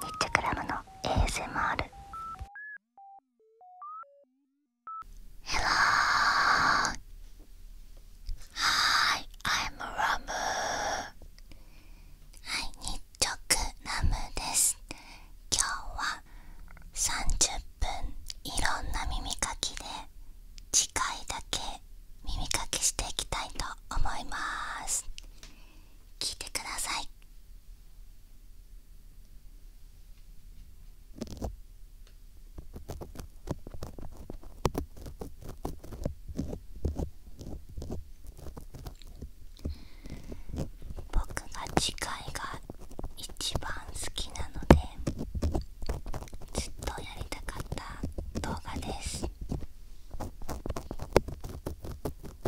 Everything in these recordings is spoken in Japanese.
日直チラムの ASMR です今日は30分いろんな耳かきで次回だけ耳かきしていきたいと思います聞いてください僕が次回が一番好きなのでずっとやりたかった動画です。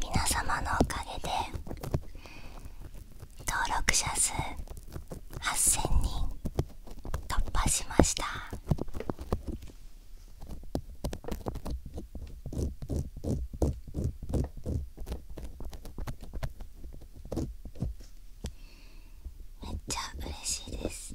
皆様のおかげで登録者数8000人突破しましためっちゃ嬉しいです。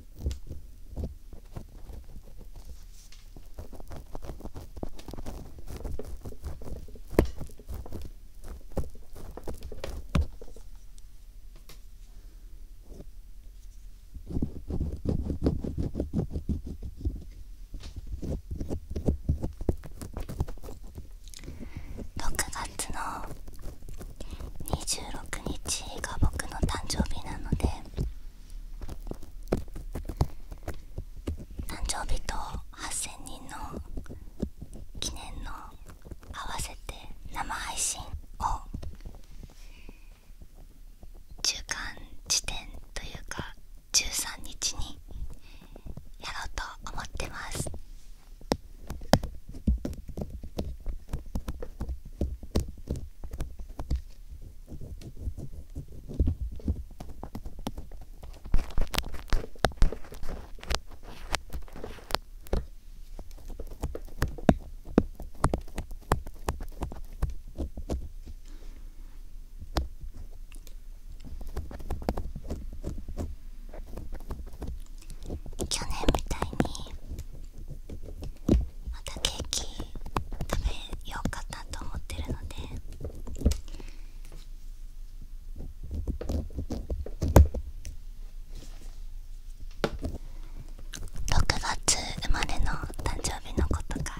6月の26日が僕の誕生日なので誕生日と8000人の記念の合わせて生配信を中間地点というか13日にやろうと思ってます。去年みたいにまたケーキ食べようかなと思ってるので6月生まれの誕生日の子とか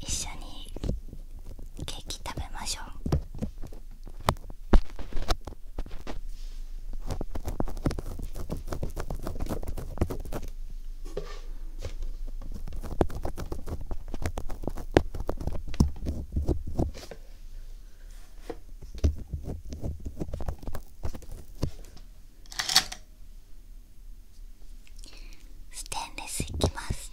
一緒にケーキ食べましょうステンレスいきます。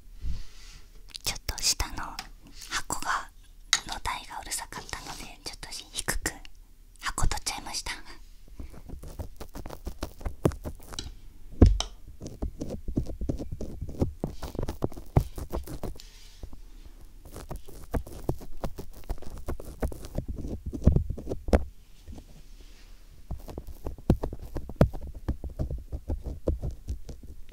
ちょっと下の箱がの台がうるさかったのでちょっと低く箱取っちゃいました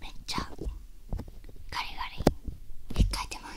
めっちゃガリガリって書いてます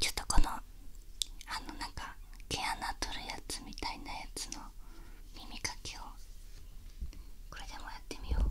ちょっとこのあのなんか毛穴取るやつみたいなやつの耳かきをこれでもやってみよう。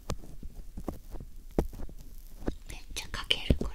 めっちゃかけるこれ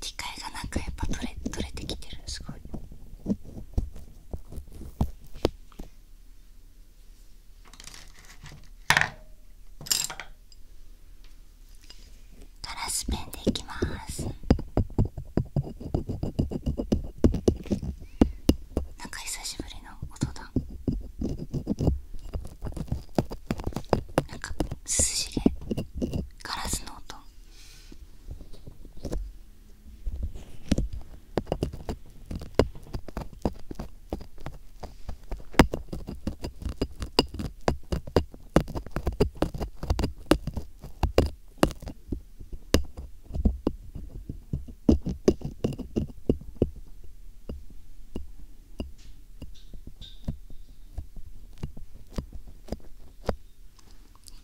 機械がなんかやっぱ取れ取れてきてるすごい。ガラスペンでいきますなんか久しぶりの音だなんか涼しげガラスの音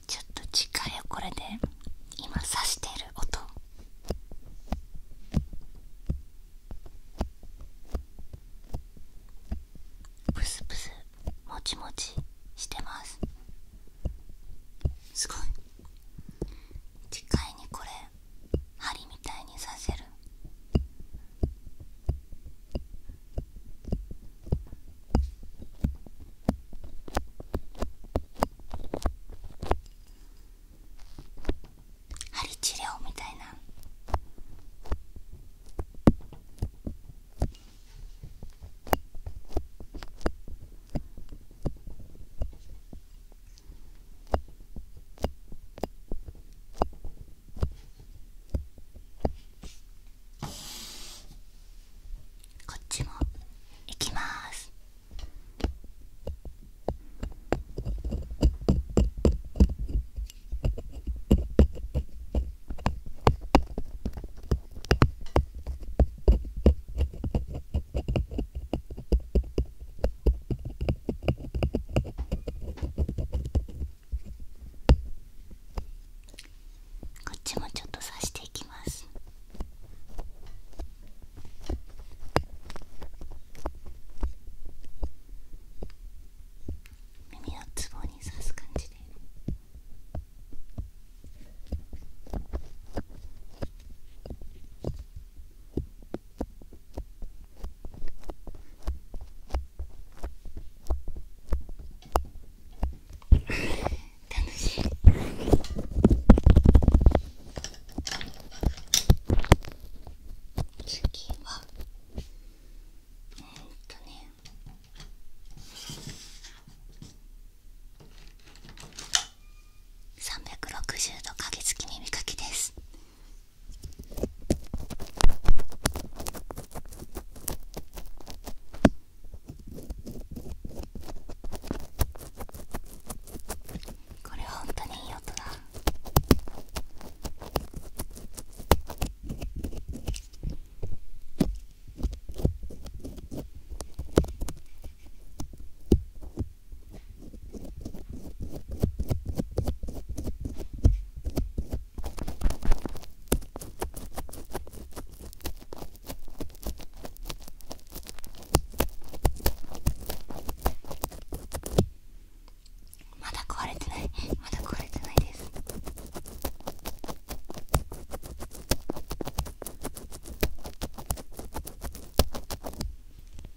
ちょっと次回よこれで今さしている音ブスブスもちもちしてますすごい次回にこれ針みたいにさせる針治療みたいな。こっちもいきますこっちもちょっと刺していきます耳をツボに刺す感じで。こ楽しい次はうんとね360度鍵付き耳かきですこれ本当にいい音だまだ壊れてないまだ壊れてないです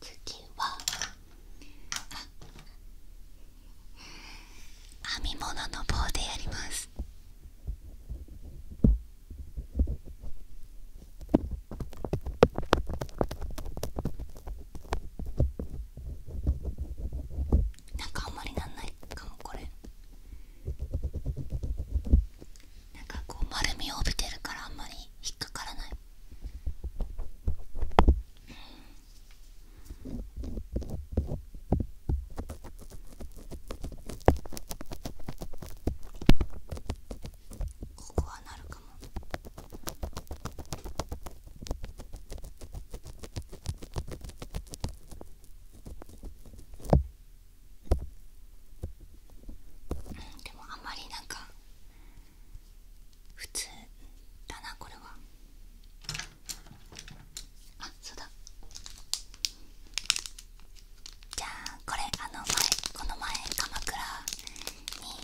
次は編み物の棒でやります。なんかあんまりなんないかもこれなんかこう丸みを帯びてるからあんまり引っかからない、うんここはなるかもうんでもあまりなんか普通だなこれはあそうだじゃあこれあの前この前鎌倉に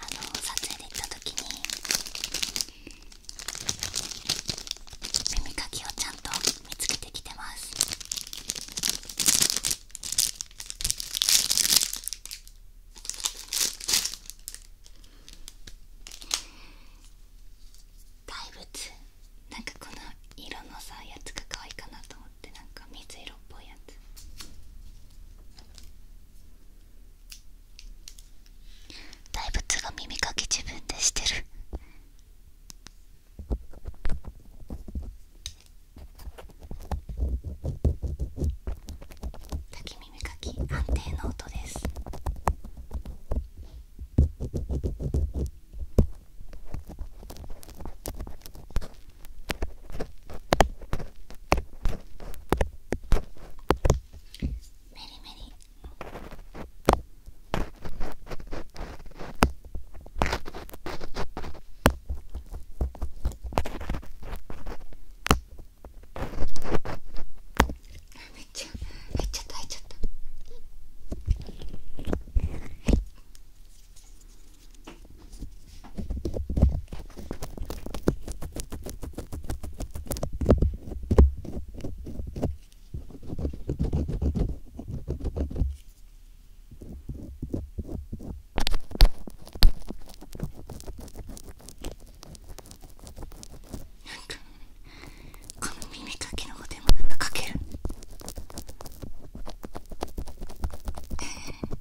あの撮影で行った時に耳かきをちゃんと見つけてきてます大仏なんかこの色のさやつが可愛いかなと思ってなんか水色っぽいやつ大仏が耳かき自分でしてる滝耳かき安定の音ですメリメリめっちゃ入っちゃった入っちゃった。この耳かきのことでもなんかかけるええー、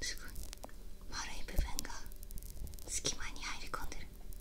すごい丸い部分が隙間に入り込んでる。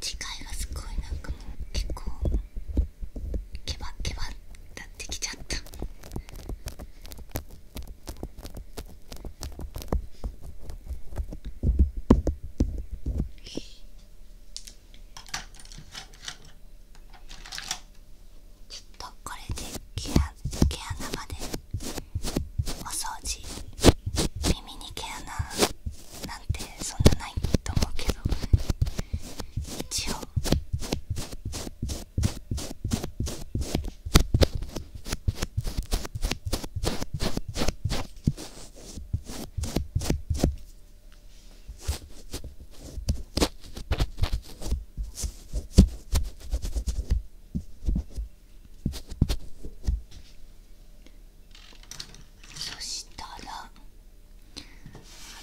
次回はすごいなんかもう結構ケバケバなってきちゃった。ちょっとこれで毛穴までお掃除耳に毛穴なんてそんなないと思うけど一応そしたらあ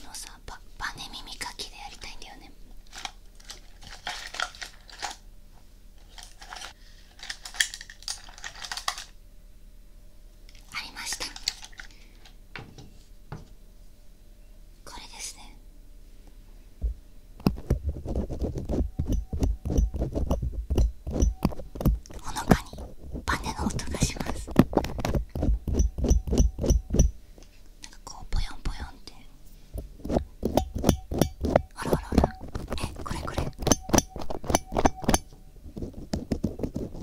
のさバネ耳かきでやりたいんだよねありましたこれですねほのかにバネの音がしますなんかこうぽよんぽよんってあらあらあらえこれこれ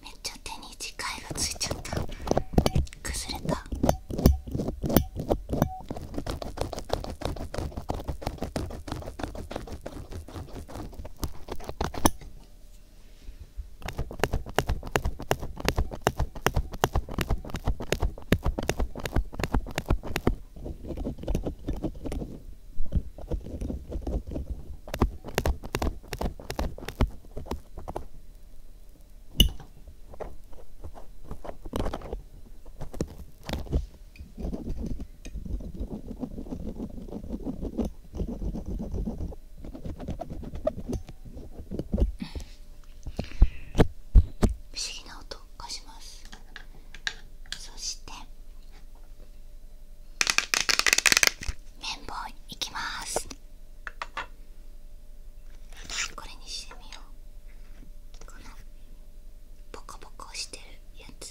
めっちゃ手に磁いがついちゃった崩れた不思議な音をがしますそして綿棒いきますこれにしてみようこのポコポコしてるやつ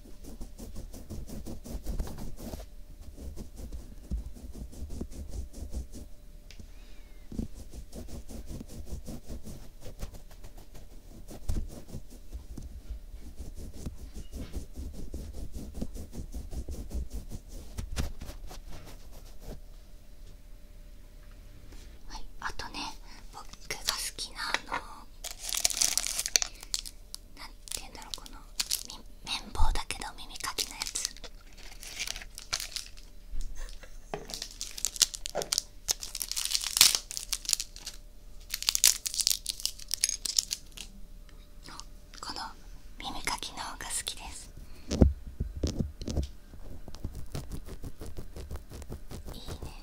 はいあとね僕が好きなあのなんて言うんだろうこの綿棒だけど耳かきのやつこの耳かきのほうが好きですいいね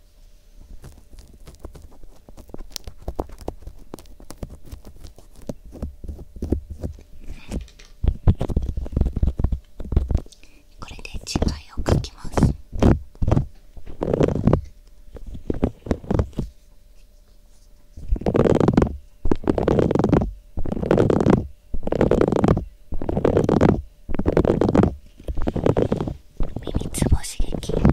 これで字いを書きます。耳つぼ刺激耳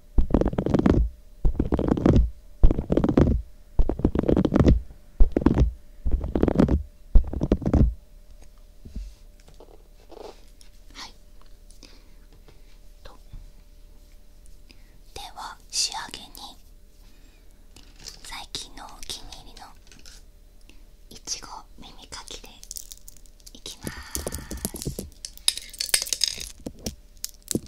はいでは仕上げに最近のお気に入りのいちご耳かきでいきます。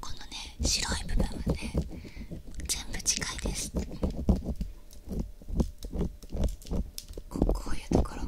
このね白い部分はね全部近いですこういうところ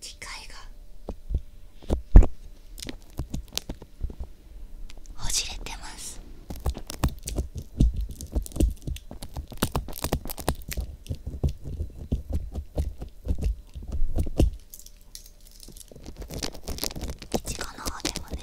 機械がほじれてます。いちごの方でもね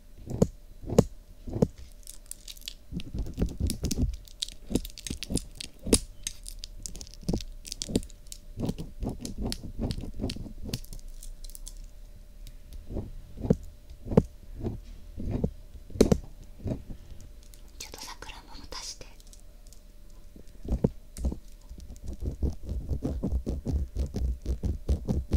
ちょっと桜もらたぼして。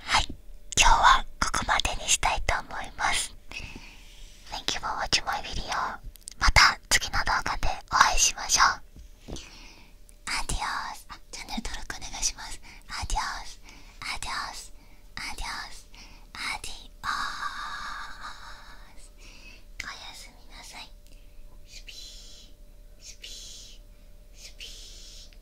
はい今日はここまでにしたいと思います Thank you for watching my video また次の動画でお会いしましょうアディオスチャンネル登録お願いしますアディオスアディオスアディオスアディオスおやすみなさいスピースピースピー